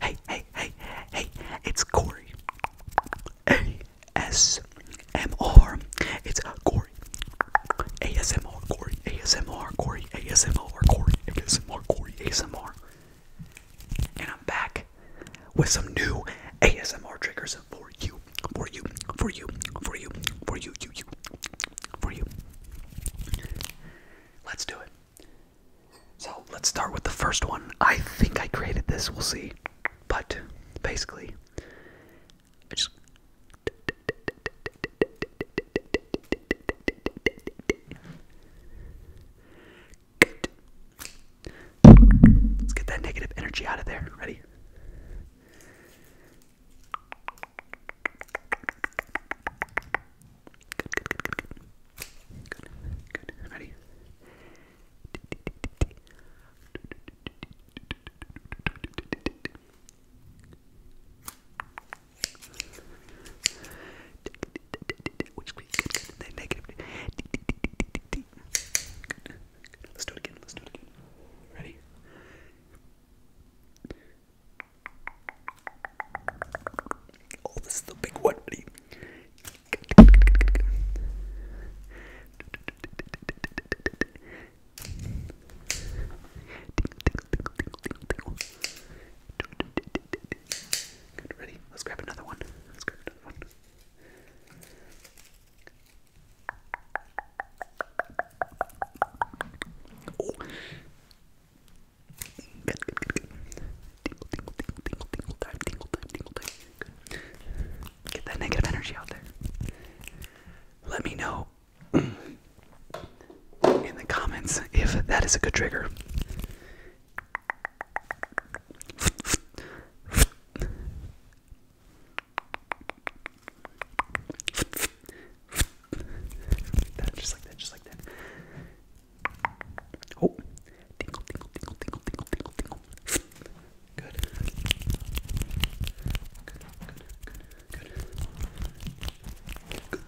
Hey, hey, hey, hey, it's Corey. ASMR. It's Corey. ASMR, Corey. ASMR, Corey. ASMR, Corey. ASMR, Corey. ASMR. And I'm back with some new ASMR triggers for you. For you. For you. For you. For you. You. You. For you. Let's do it. So let's start with the first one. I think I created this, we'll see. But basically, Let's get that negative energy out of there. Ready? Good, good, good, good, good. Good, good. Ready? Which good, good, good. Negative. Good. Let's do it again. Let's do it again. Ready? Oh, this is the big one. Good, ready? Let's grab another one. Let's grab another one. Oh. Get that negative energy out there. Let me know in the comments if that is a good trigger just like that, just like that. Oh, tingle, tingle, tingle, tingle, tingle, tingle, tingle. Good, good, good, good. Good, good, good, good. Good, good,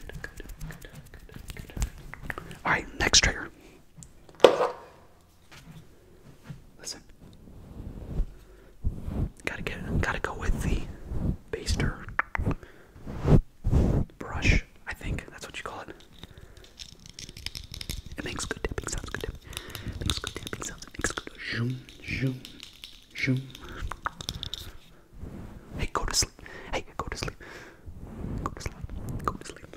good, good, good. All right, next trigger. Listen. Gotta get gotta go with the baster brush, I think. That's what you call it. It makes good tapping sounds, good tapping. Makes good tapping sounds, makes good zoom, zoom, zoom. Hey, go to sleep. Hey, go to sleep. Go to sleep. Go to sleep.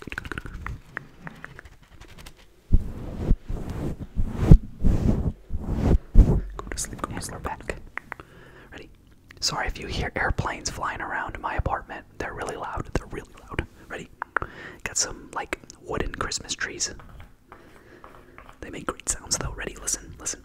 Good, good, good, good. Go Ready? Sorry if you hear airplanes flying around my apartment. They're really loud. They're really loud. Ready? Got some, like, wooden Christmas trees. They make great sounds, though. Ready? Listen, listen.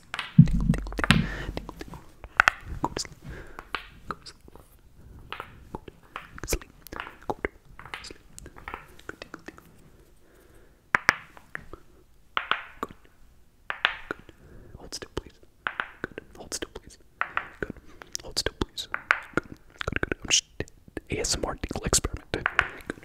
sleep. Tingle, tingle, tingle, tingle, tingle. Go to sleep. Go to sleep. Go to sleep. Go to sleep. Go tingle, tingle. Good. Good. Hold still, please. Good. Hold still, please. Good. Hold still, please. Good. Good. Good. I'm just ASMR tingle experiment. Good. Good. Good.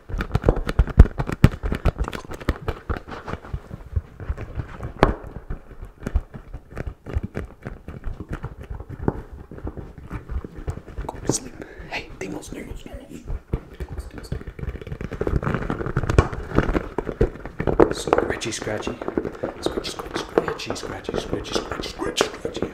Go to sleep. Hey, dingles, dingles, dingles. Scratchy, scratchy. Scratchy, scratchy, scratchy, scratchy, scratchy, scratchy, scratchy.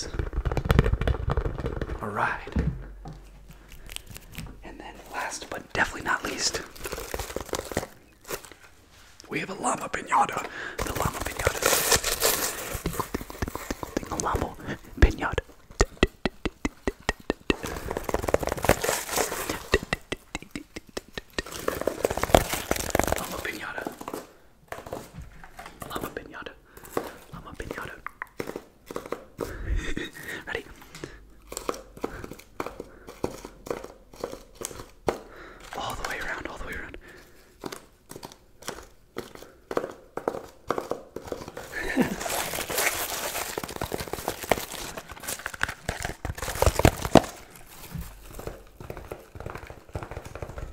is. All right. And then last but definitely not least, we have a llama pinata. The llama pinata. The Llama pinata. Llama pinata. Llama pinata. Ready? All the way around, all the way around.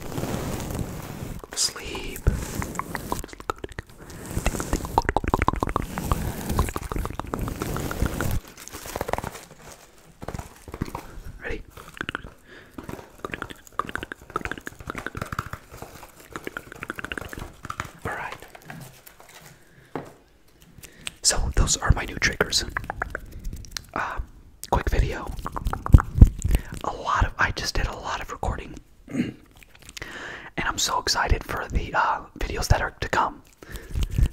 Go to sleep. Ready? Alright. So, those are my new triggers. Um, quick video. A lot of I just did a lot of recording, and I'm so excited for the uh, videos that are to come.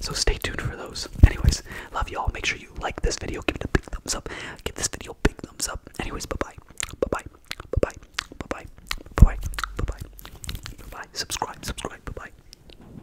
So stay tuned for those. Anyways, love y'all. Make sure you like this video. Give it a big thumbs up. Give this video a big thumbs up. Anyways, bye bye. Bye bye. Bye bye. Bye bye. Bye bye. Bye bye. Bye bye. Subscribe. Subscribe. Bye bye.